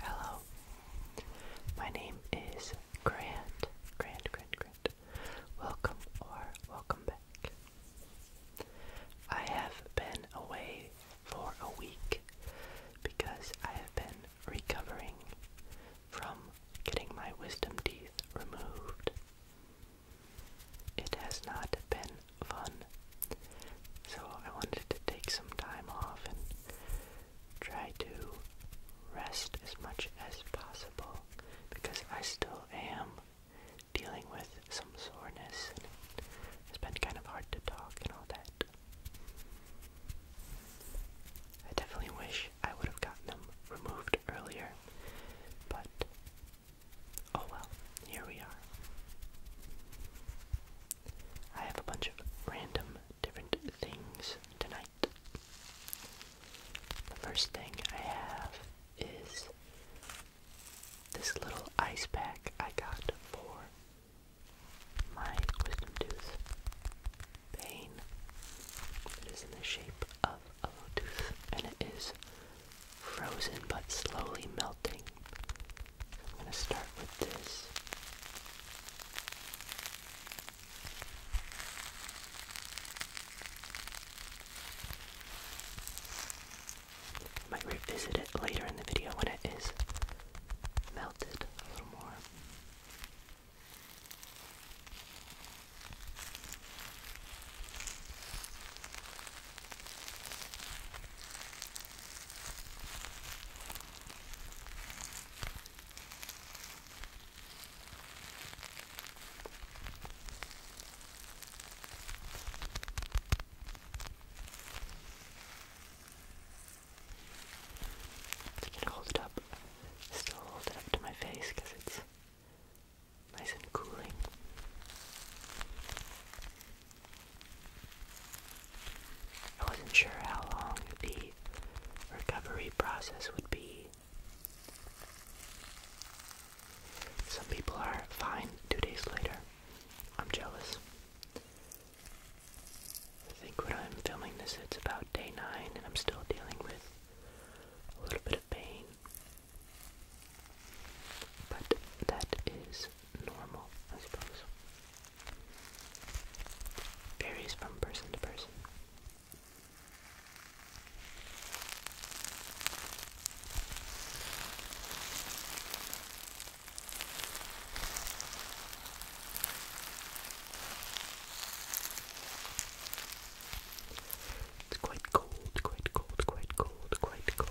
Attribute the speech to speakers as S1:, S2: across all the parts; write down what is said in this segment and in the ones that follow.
S1: Hello, my name is Grand. Grant, Grant, Grant. Welcome or welcome back. I have been away for a week because I have been recovering from getting my wisdom teeth removed. It has not been fun. So I wanted to take some time off and try to rest as much as possible because I still am dealing with some soreness it's been kind of hard to talk and all that. I definitely wish I would have gotten them removed earlier, but Oh well, here we are. I have a bunch of random different things tonight. The first thing I have is this little ice pack I got for my wisdom tooth pain. It is in the shape of a lotus and it is frozen but slowly melting. I'm going to start with this. might revisit it later in the video when it is melted a little more. I can hold it up, still hold it up to my face because it's nice and cooling. I wasn't sure how long the recovery process would be. Some people are fine two days later. I'm jealous. I think when I'm filming this, it's about day nine, and I'm still dealing with a little bit of pain. But that is normal, I suppose. Varies from person to person. It's quite cold, quite cold, quite cold, quite cold.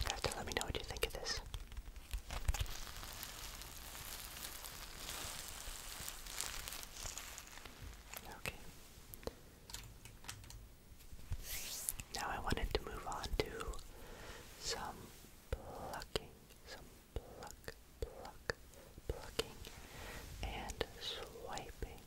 S1: You have to let me know what you think of this. Okay. Now I wanted to move on to some plucking, some pluck, pluck, plucking, and swiping,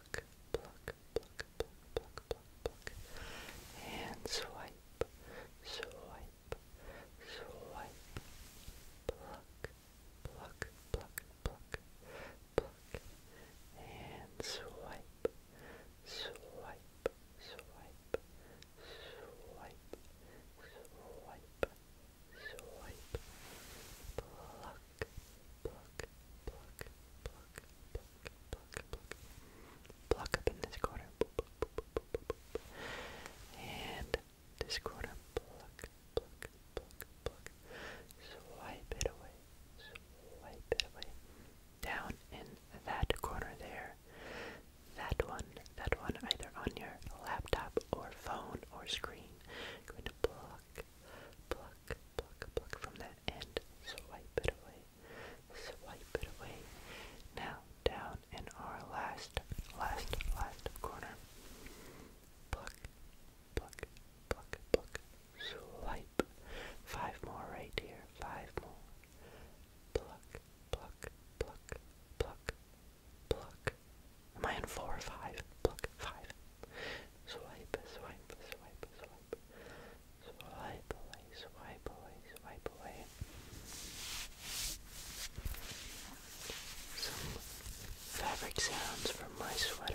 S1: pluck, pluck, pluck, pluck, pluck, pluck, pluck, and swipe, swipe, swipe, pluck, pluck, pluck, pluck, pluck, and swipe, swipe, swipe, swipe, swipe, swipe, pluck pluck, pluck, pluck, pluck, pluck, pluck. Pluck up in this quarter. And this quarter, pluck, pluck, pluck, pluck. Swipe it away, swipe it away. Down in that corner there. That one, that one, either on your laptop or phone or screen. You're going to pluck, pluck, pluck, pluck from the and swipe it away, swipe it away. Now down in our last, last, last corner. Pluck, pluck, pluck, pluck, swipe. Five more right here, five more. Pluck, pluck, pluck, pluck, pluck. Am I in four or five? Pluck, five. Swipe, swipe, swipe, swipe. Swipe away, swipe away, swipe away. Some fabric sounds from my sweater.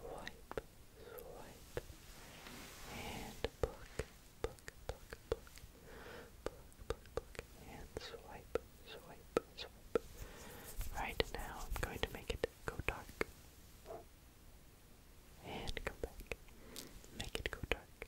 S1: swipe, swipe, and book, book, book, book, book, book, book, and swipe, swipe, swipe. Right now, I'm going to make it go dark. And come back. Make it go dark.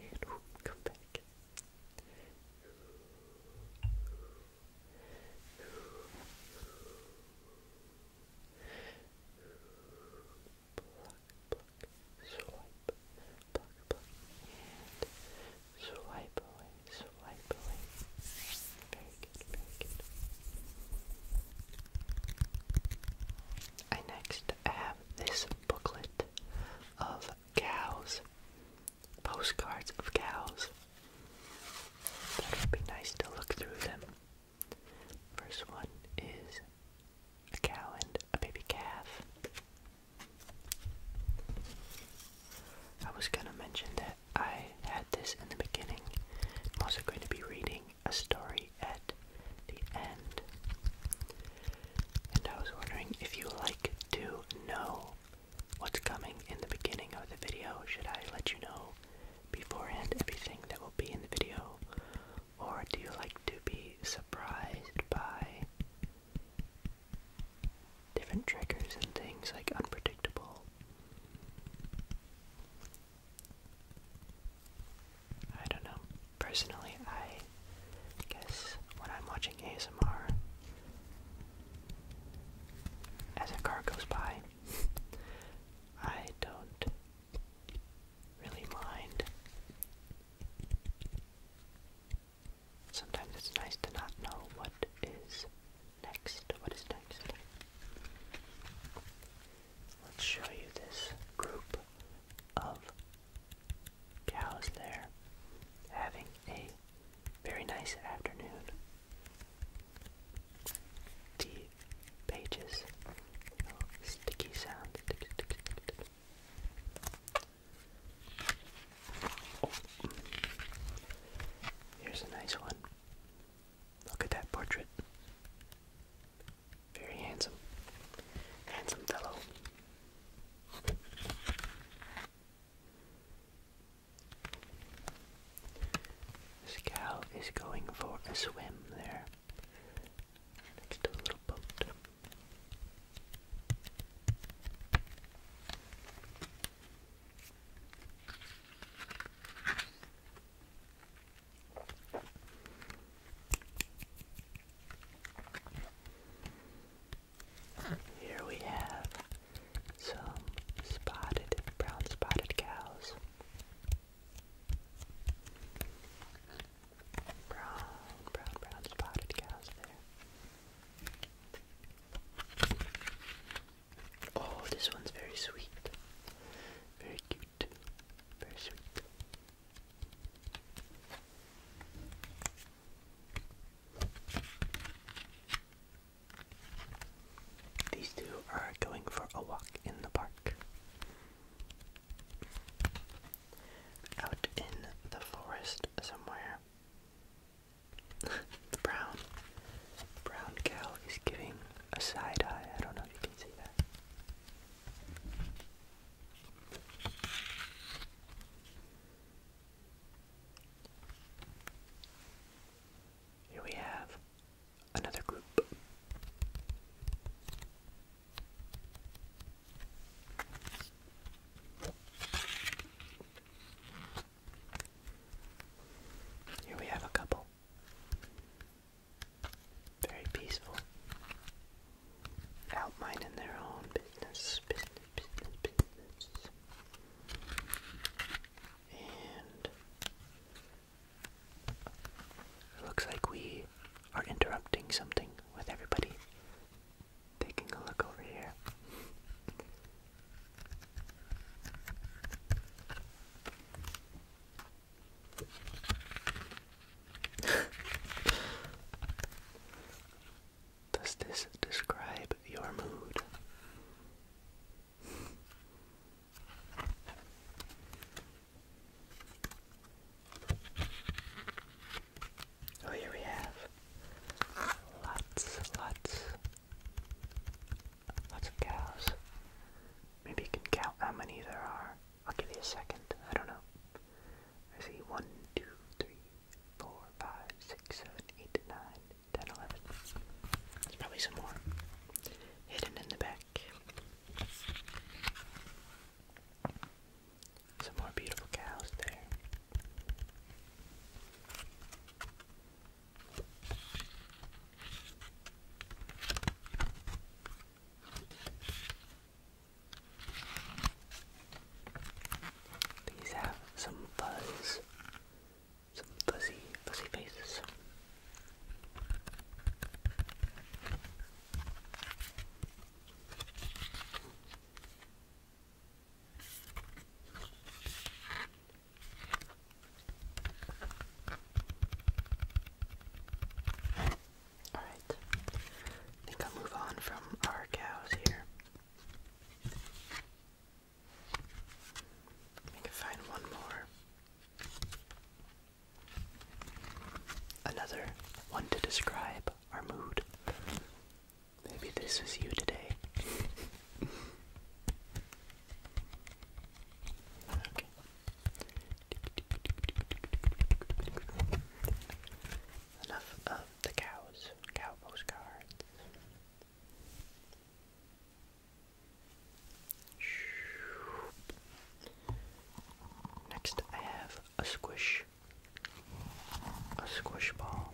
S1: And come back pluck, swipe, pluck, pluck, and swipe away, swipe away. Very good, very good. I next have this booklet of cows, postcards of cows that would be nice to look through them. First one is a cow and a baby calf. I was going to mention that I had this in the beginning. I'm also going to be reading a story at the end. And I was wondering if you like to know what's coming in the beginning of the video. Should I let you know beforehand everything that will be in the video? Or do you like to be surprised by different triggers and things like unpredictable? I don't know. Personally, I guess when I'm watching ASMR, as a car goes by, I don't really mind. Sometimes it's nice to not know what is next. What is next? Let's show you this group of cows there having a very nice afternoon the pages. sticky sound. Here's a nice one. Look at that portrait. Very handsome. Handsome fellow. This cow is going for a swim there. Next to a little boat. Here we have some spotted, brown spotted cows. Brown, brown, brown spotted cows there. Oh, this one's very sweet. Very cute. Very sweet. These two are going for a walk in the park. Out in the forest somewhere. the brown brown cow is giving a side eye. I don't know if you can see that. Here we have another group. Here we have a couple. Very peaceful. Out their own business. And it Looks like we are interrupting something with everybody. Taking a look over here. Does this describe your mood? Oh, here we have lots, lots, lots of cows. Maybe you can count how many there are. I'll give you a second. I don't know. I see 1, There's probably some more hidden in the back. Some more beautiful cows there. These have some fuzz some fuzzy, fuzzy faces. Alright, I think I'll move on from our cows here. I can find one more Another one to describe our mood. Maybe this is you today. okay. Enough of the cows, cow Next, I have a squish, a squish ball.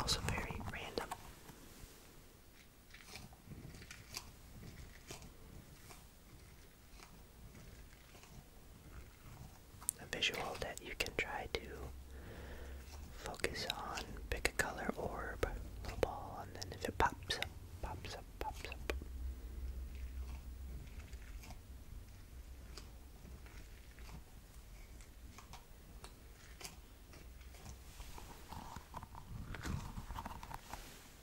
S1: Also, very random. A visual that you can try to focus on, pick a color orb, little ball, and then if it pops pops up, pops up.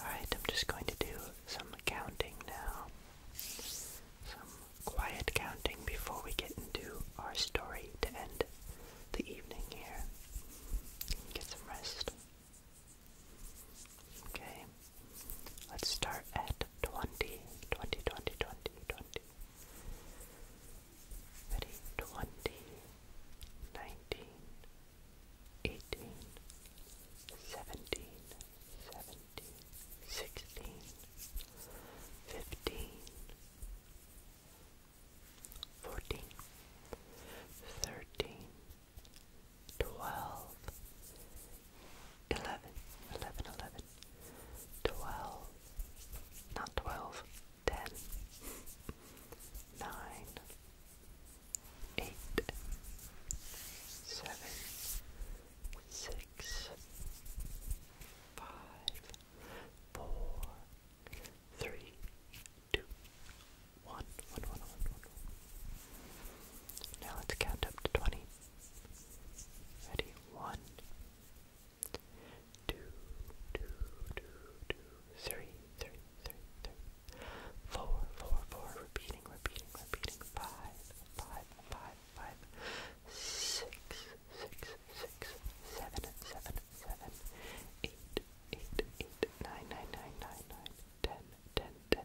S1: Alright, I'm just going to do some counting now. Some quiet counting before we get into our story to end the evening here. Get some rest. Okay, let's start at 20, 20, 20, 20, 20. 19, 18, 17, 16, 15, 14, 13, twelve, eleven, eleven, eleven, twelve, not twelve, ten, nine, eight, seven, six, five, four, three, two, one, one, one, one, one. Now let's count up to 20. Ready? One, two, two, two, two, three, three, three, three, four, four, four, repeating, repeating, repeating, five, five, five, five, six, six, six, seven, seven, seven, eight, eight, eight, nine, nine, nine, nine, nine, ten, ten, ten,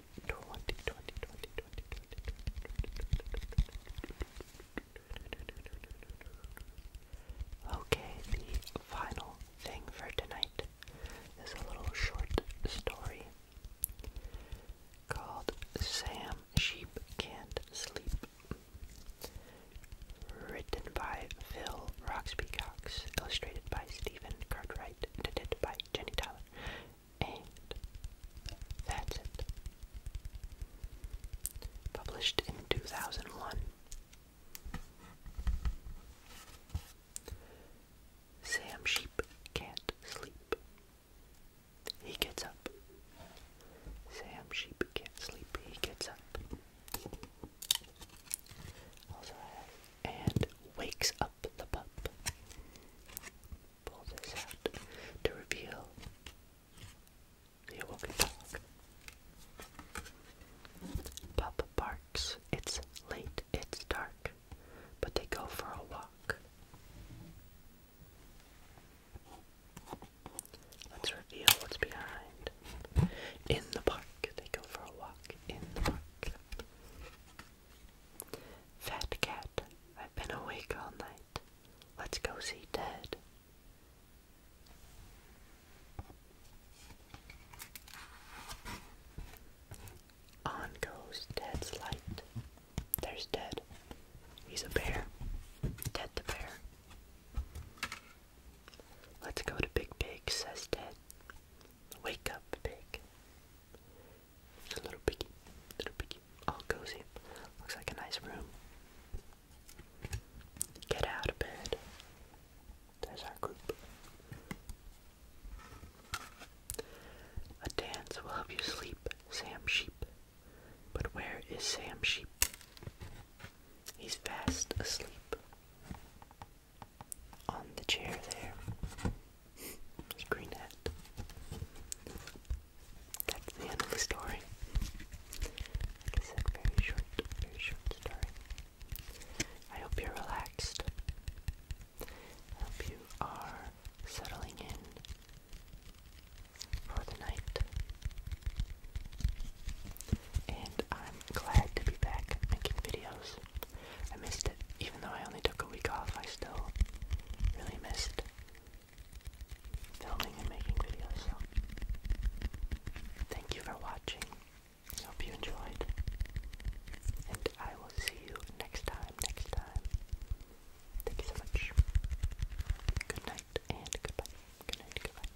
S1: 20, Okay, the final thing for tonight is a little short story called Sam Sheep Can't Sleep. Written by Phil Roxby Cox, illustrated by Stephen Cartwright, edited by Jenny Tyler, and that's it. Published in 2001. Sam Sheep can't sleep. He gets up. Sam Sheep can't sleep. He gets up. Also, and wakes up the pup pull this out to reveal the awoken dog. Papa barks. It's late. It's dark. But they go for a walk. Let's reveal what's behind. In the park. They go for a walk in the park. Fat cat. I've been awake all night. Let's go see Ted. On goes Ted's light. There's Ted. He's a bear. Ted the bear. Let's go to Big Pig, says Ted. Wake up, Pig. A little piggy, little piggy, all cozy. Looks like a nice room. Get out of bed. There's our group. A dance will help you sleep, Sam Sheep. But where is Sam Sheep? He's fast asleep. On the chair there. His green hat that's the end of the story. Like I very short, very short story. I hope you're relaxed. I hope you are settling in for the night. And I'm glad to be back making videos. I missed it. Even though I only took a week off, I still really missed filming and making videos. So, thank you for watching. I hope you enjoyed. And I will see you next time, next time. Thank you so much. Good night and goodbye. Good night, goodbye.